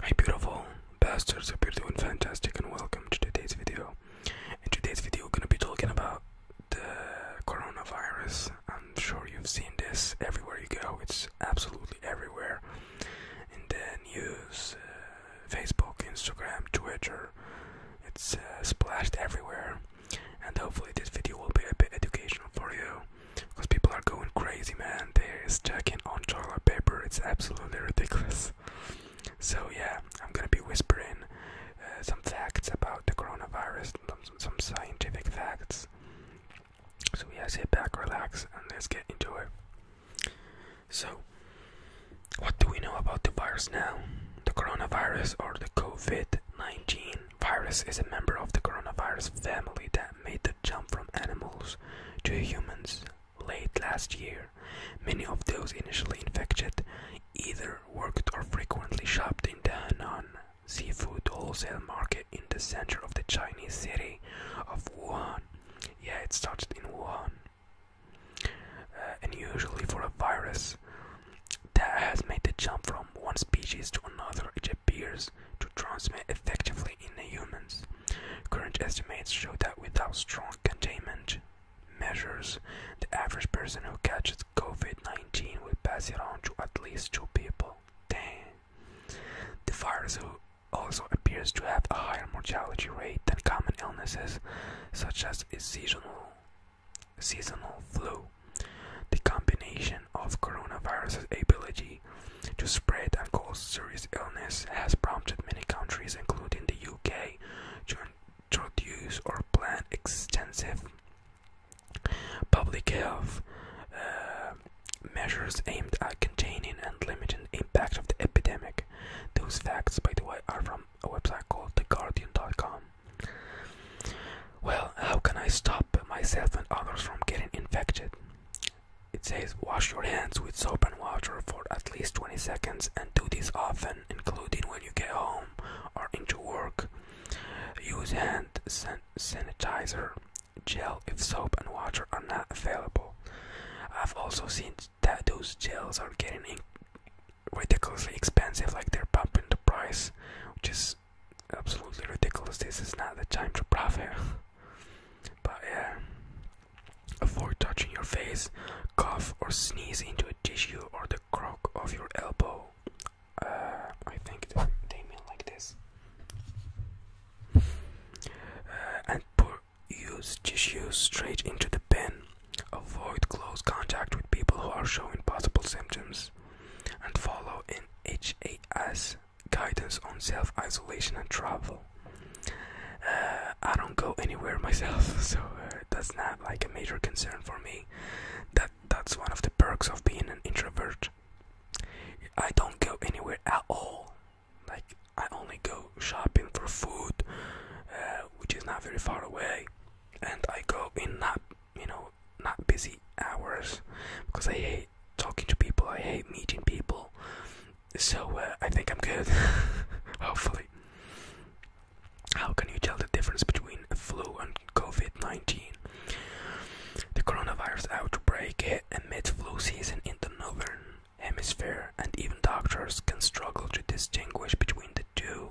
Hi beautiful bastards, hope you doing fantastic and welcome to today's video. In today's video we're gonna be talking about the coronavirus. I'm sure you've seen this everywhere you go, it's absolutely everywhere. In the news, uh, Facebook, Instagram, Twitter, it's uh, splashed everywhere. And hopefully this video will be a bit educational for you because people are going crazy, man. They're stacking on toilet paper. It's absolutely ridiculous. So yeah, I'm gonna be whispering uh, some facts about the coronavirus, some, some scientific facts. So yeah, sit back, relax, and let's get into it. So, what do we know about the virus now? The coronavirus or the COVID 19 Virus is a member of the coronavirus family that made the jump from animals to humans late last year. Many of those initially infected either worked or frequently shopped in the Henan seafood wholesale market in the center of the Chinese city of Wuhan. Yeah, it started in Wuhan. Uh, and usually for a virus, that has made the jump from one species to another it appears to transmit effectively in humans. Current estimates show that without strong containment measures, the average person who catches COVID-19 will pass it on to at least two people. The virus also appears to have a higher mortality rate than common illnesses such as seasonal seasonal flu. The combination of coronavirus's ability to spread and cause serious illness has prompted many countries, including the UK, to introduce or plan extensive public health uh, measures aimed at containing and limiting the impact of the epidemic. Those facts, by the way, are from a website called TheGuardian.com. Well, how can I stop myself and others from getting infected? It says wash your hands with soap and water for at least 20 seconds and do this often, including when you get home or into work. Use hand sanitizer gel if soap and water are not available. I've also seen that those gels are getting ridiculously expensive, like they're pumping the price, which is absolutely ridiculous. This is not the time to profit. but yeah, avoid touching your face, cough, or sneeze into a tissue or the crook of your elbow. Uh, I think they mean like this. Uh, and put use tissue straight into the pen. Avoid close contact with people who are showing possible symptoms and follow NHAS guidance on self isolation and travel. Uh, I don't go anywhere myself, so uh, that's not like a major concern for me. That that's one of the perks of being an introvert. I don't go anywhere at all. Like I only go shopping for food, uh, which is not very far away and I go in not you know not busy hours because I hate talking to people. I hate meeting people. So uh, I think I'm good. Hopefully. How can you tell the difference between flu and COVID-19? The coronavirus outbreak hit amid flu season in the northern hemisphere, and even doctors can struggle to distinguish between the two.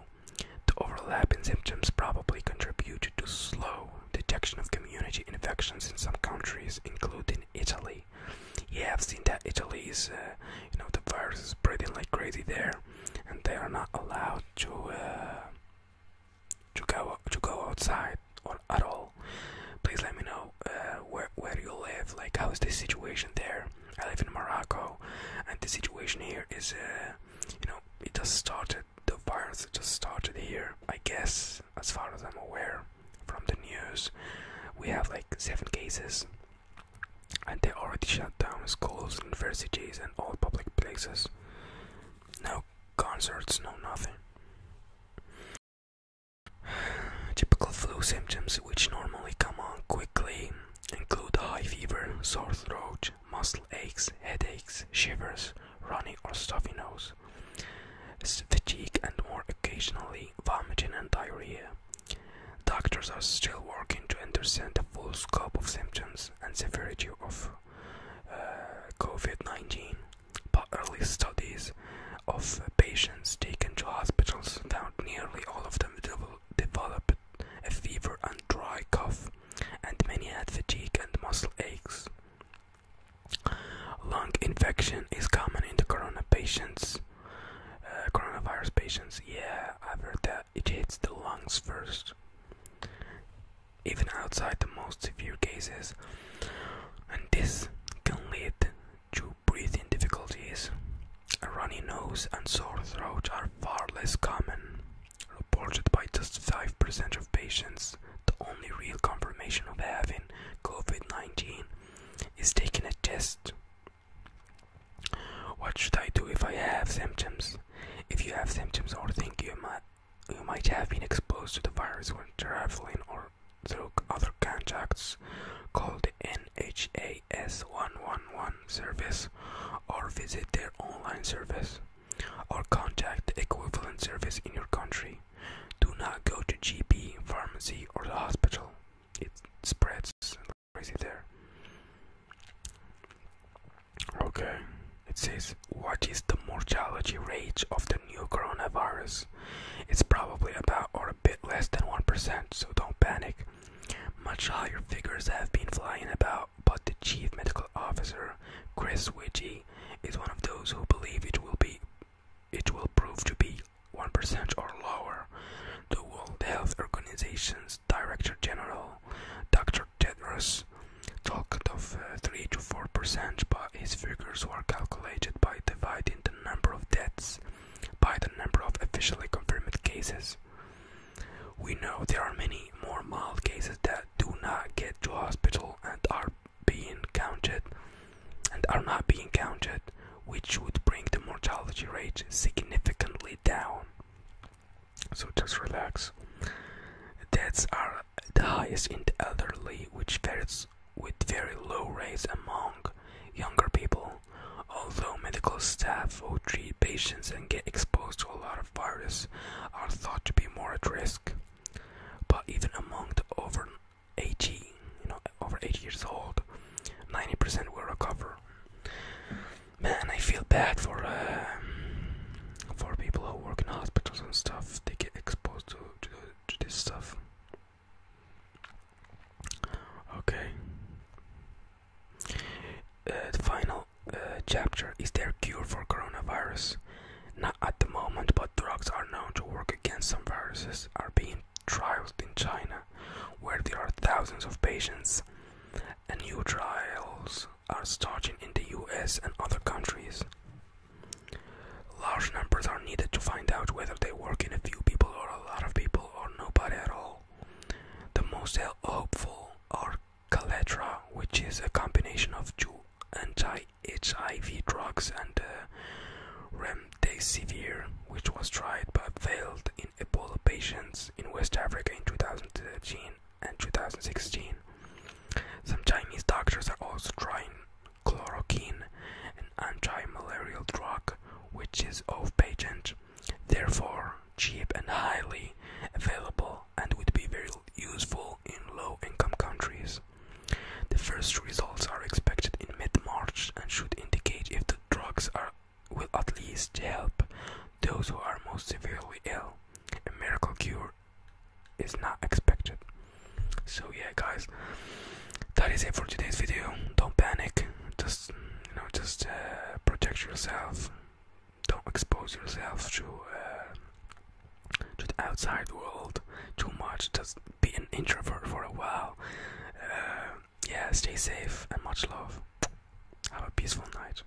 The overlapping symptoms probably contributed to slow detection of community infections in some countries, including Italy. Yeah, I've seen that Italy is, uh, you know, the virus is spreading like crazy there, and they are not allowed to uh, to go to go outside or at all. Please let me know uh, where where you live, like how is the situation there. I live in Morocco, and the situation here is, uh, you know, it just started. The virus just started here, I guess, as far as I'm aware from the news. We have like seven cases, and they already shut down schools, and universities, and all public places. No concerts, no nothing. Typical flu symptoms which normally come on quickly include high fever, sore throat, muscle aches, headaches, shivers, runny or stuffy nose, fatigue, and more occasionally vomiting and diarrhea. Doctors are still working to understand the full scope of symptoms and severity of uh, COVID 19, but early studies of patients taken to hospitals found nearly all of them developed a fever and dry cough, and many had fatigue and muscle aches. Lung infection is common in the corona patients. Uh, coronavirus patients, yeah, I've heard that it hits the lungs first. Even outside the most severe cases, and this can lead to breathing difficulties. A runny nose and sore throat are far less common, reported by just 5% of patients. The only real confirmation of having COVID 19 is taking a test. What should I do if I have symptoms? If you have symptoms or think you might, you might have been exposed to the virus when traveling or through other contacts call the NHAS 111 service or visit their online service or contact the equivalent service in your country. Do not go to GP, pharmacy or the hospital. It spreads crazy there. Okay. It says what is the mortality rate of the?" new coronavirus. It's probably about or a bit less than 1%, so don't panic. Much higher figures have been flying about, but the chief medical officer, Chris Wiggy, is one of those who believe it will be it will prove to be 1% or lower. The World Health Organization's Director General, Dr. Tedros, talked of uh, 3 to 4%, but his figures were calculated by dividing the number of deaths by the number of officially confirmed cases. We know there are many more mild cases that do not get to hospital and are being counted and are not being counted, which would bring the mortality rate significantly down. So just relax. Deaths are the highest in the elderly, which varies with very low rates among younger people, although medical staff who treat patients and get exposed to a lot of virus are thought to be more at risk. But even among the over 80, you know, over 80 years old, 90% will recover. Man, I feel bad for uh, for people who work in hospitals and stuff. They get exposed to to this stuff. Okay. Uh, the final uh, chapter is there cure for coronavirus? Not at the moment, but drugs are known to work against some viruses are being trialed in China, where there are thousands of patients, and new trials are starting in the US and other countries. Large numbers are needed to find out whether they work in a few people or a lot of people or nobody at all. The most hopeful are Caletra, which is a combination of two anti-HIV drugs and uh, remdesivir, which was tried but failed in Ebola patients in West Africa in 2013 and 2016. Some Chinese doctors are also trying chloroquine, an anti-malarial drug which is off-patent, therefore cheap and highly available and would be very useful in low-income countries. The first results are expected in mid-March and should indicate if the drugs are, will at least help those who are most severely ill. A miracle cure is not expected. So yeah, guys, that is it for today's video. Don't panic. Just you know, just uh, protect yourself. Don't expose yourself to uh, to the outside world too much. Just be an introvert for a while. Uh, yeah, stay safe and much love. Have a peaceful night.